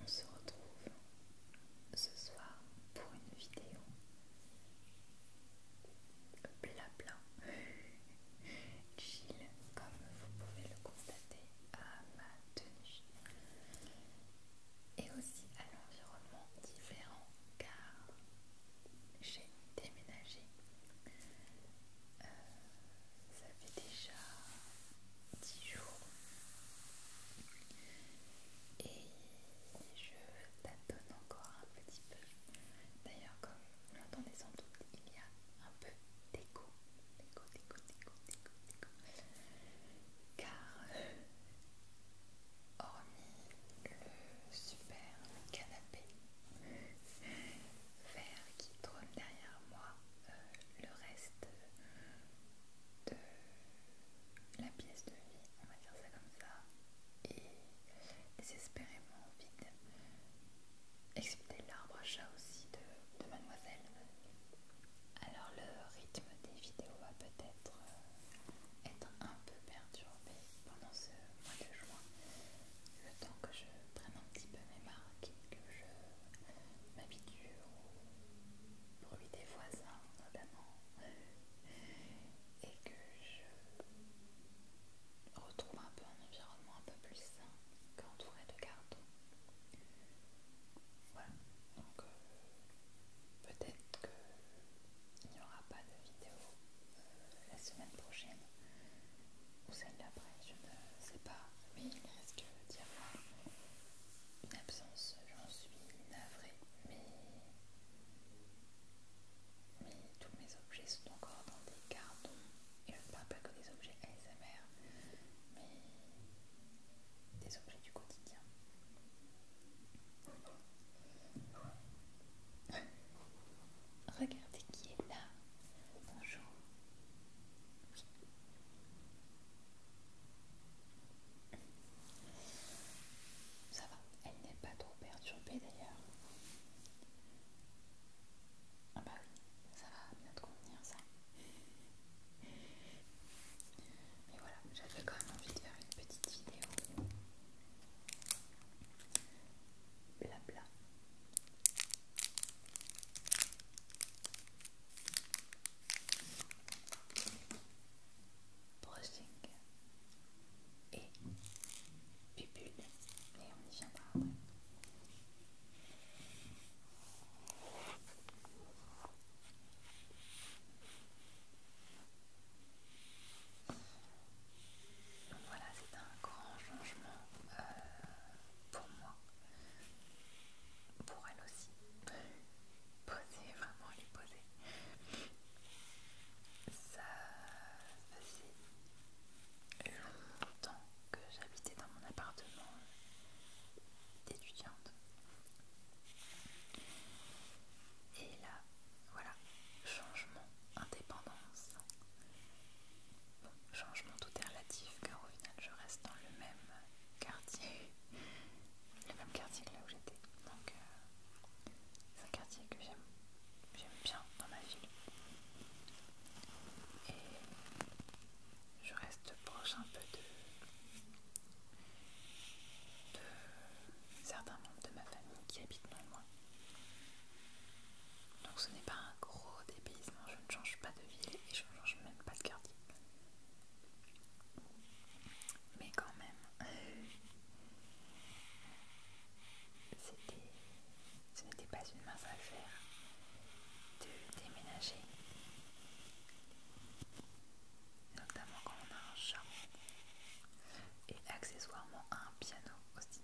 On se retrouve ce soir pour une vidéo blabla chill comme vous pouvez le constater à ma tenue et aussi à l'environnement différent car j'ai déménagé ça fait déjà 10 jours et je tâtonne encore un petit peu. D'ailleurs, comme vous l'entendez sans doute, il y a un peu d'écho, d'écho, d'écho, d'écho, car euh, hormis le super canapé vert qui trône derrière moi, le reste de la pièce de vie, on va dire ça comme ça, et désespérément vite excepté l'arbre à chat aussi de, mademoiselle. Alors le rythme des vidéos va peut-être euh, être un peu perturbé pendant ce mois de juin le temps que je prenne un petit peu mes marques, que je m'habitue au bruit des voisins notamment, et que je retrouve un peu un environnement un peu plus sain qu'entouré de cartons. Voilà, donc euh, peut-être qu'il n'y aura pas de vidéo euh, la semaine prochaine ou celle d'après, je ne sais pas, mais il risque dire avoir ah, une absence, j'en suis navrée, mais... mais tous mes objets sont encore dans des cartons, et je ne parle pas que des objets ASMR, mais des objets du quotidien. Regardez qui est là. Bonjour. Ça va, elle n'est pas trop perturbée d'ailleurs. Ah bah oui, ça va bien te convenir ça. Mais voilà, j'avais quand même envie de faire une petite vidéo. Blabla, Brushing et pupule, et on y viendra après. Voilà, c'est un grand changement euh, pour moi, pour elle aussi. Poser, vraiment lui poser. Ça faisait longtemps que j'habitais dans mon appartement d'étudiante. Et là, voilà, changement indépendance. changement tout est relatif car au final je reste dans le même quartier, le même quartier que là où j'étais. Donc euh, c'est un quartier que j'aime, j'aime bien dans ma ville. Et je reste proche un peu de, certains membres de ma famille qui habitent non loin. Donc ce n'est pas un gros dépaysement, je ne change pas de ville et je ne change même pas de quartier. Mais quand même, euh, ce n'était pas une mince affaire de déménager. Notamment quand on a un chat et accessoirement un piano aussi.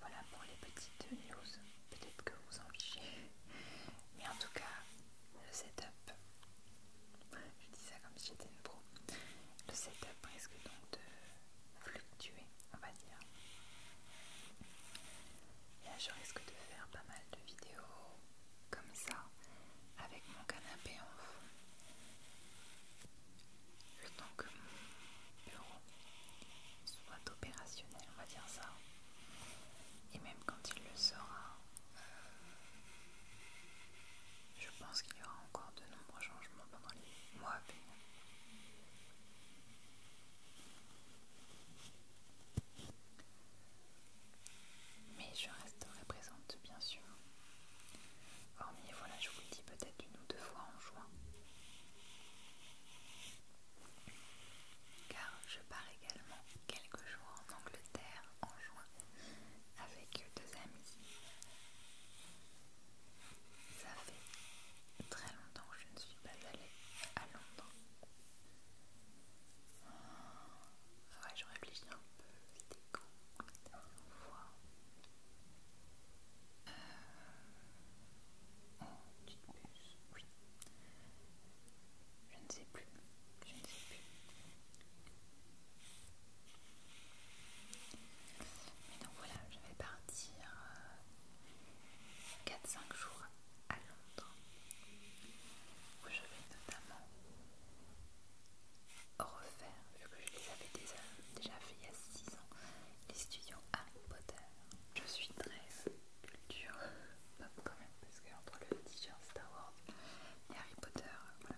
Voilà pour les petites news, peut-être que vous en fichez, mais en tout cas, le setup, je dis ça comme si j'étais une pro, le setup risque donc de fluctuer, on va dire. là, je risque de faire pas mal de vidéos comme ça, avec mon canapé en fond. Le temps que mon bureau soit opérationnel, on va dire ça. Et même quand il le sera, euh, je pense qu'il y aura encore de nombreux changements pendant les mois à venir. Mais je resterai présente, bien sûr. Hormis, voilà, je vous le dis peut-être une ou deux fois en juin. Car je pars également quelques jours en Angleterre en juin avec deux amis. Ça fait très longtemps que je ne suis pas allée à Londres Ouais, je réfléchis un peu, c'était con la dernière fois. Euh... Oh, petite puce, oui. Je ne sais plus, je ne sais plus. Mais donc voilà, je vais partir 4-5 euh, jours à Londres, où je vais notamment refaire, vu que je les avais déjà, fait il y a 6 ans, les studios Harry Potter. Je suis très culture quand même, parce que entre le t-shirt Star Wars et Harry Potter, voilà.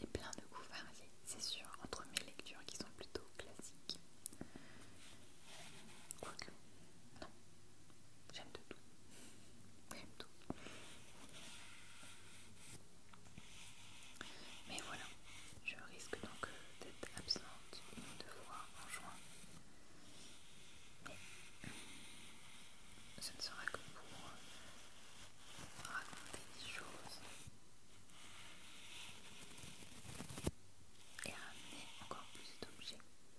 J'ai plein de goûts variés, c'est sûr, entre mes lectures qui sont plutôt classiques. non, J'aime de tout. J'aime tout. Mais voilà, je risque donc d'être absente une ou deux fois en juin. Mais ce ne sera que pour raconter des choses et ramener encore plus d'objets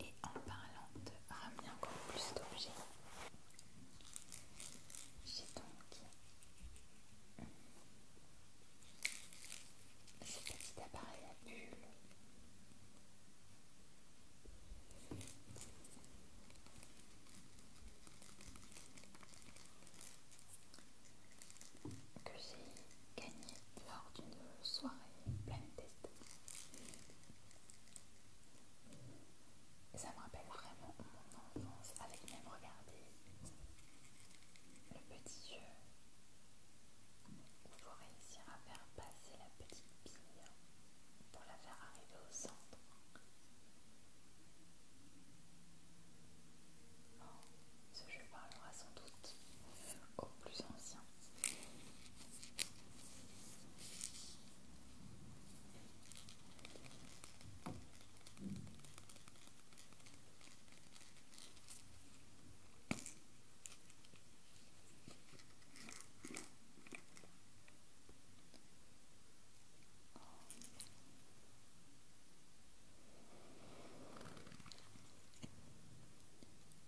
Et en parlant de ramener encore plus d'objets, j'ai donc ce petit appareil à bulles. que j'ai gagner lors d'une soirée pleine tête ça me rappelle vraiment mon enfance avec même regarder le petit jeu où il faut réussir à faire passer la petite bille pour la faire arriver au centre. Oh ce jeu parlera sans doute au plus ancien.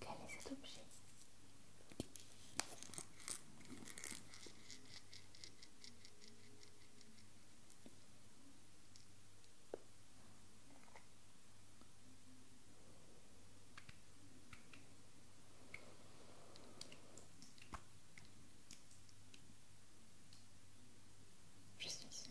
Quel est cet objet je suis seconde.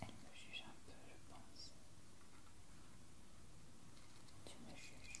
Elle me juge un peu, je pense. Tu me juges.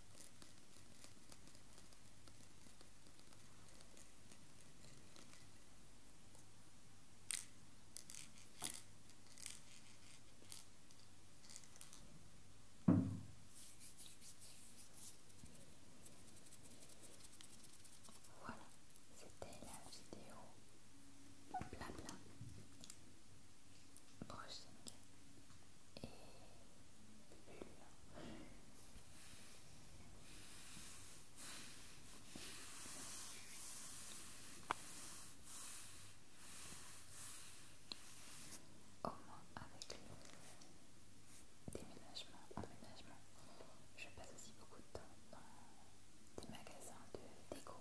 Voilà, c'était la vidéo blabla brushing et au moins avec le déménagement, aménagement je passe aussi beaucoup de temps dans des magasins de déco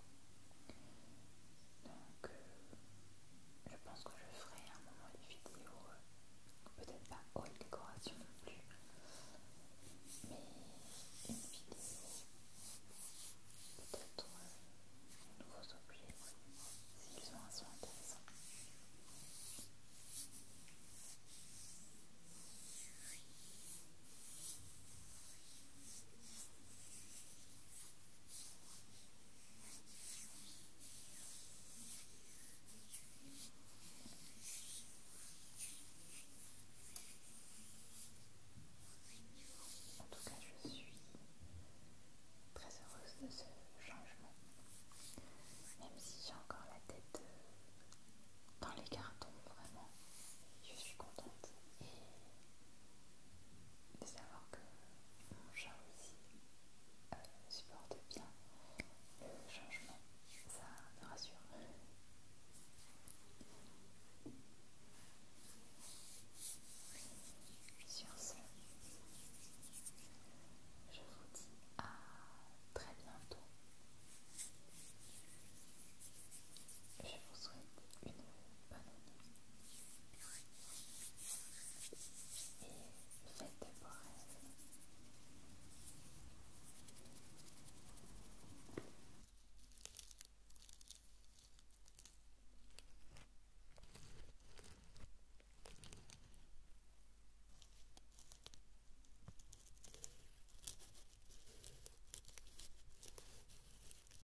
donc, euh, je pense que je ferai un moment des vidéos, euh, peut-être pas haute décoration non plus, mais une vidéo, peut-être euh, de nouveaux objets, s'ils ont un son intéressant. En tout cas, je suis très heureuse de ce changement, même si j'ai encore la tête euh, dans les cartons, vraiment, je suis contente de savoir que mon chat aussi euh, supporte bien le changement, ça me rassure. Sur ce, je vous dis à très bientôt. Je vous souhaite une bonne nuit et faites de beaux rêves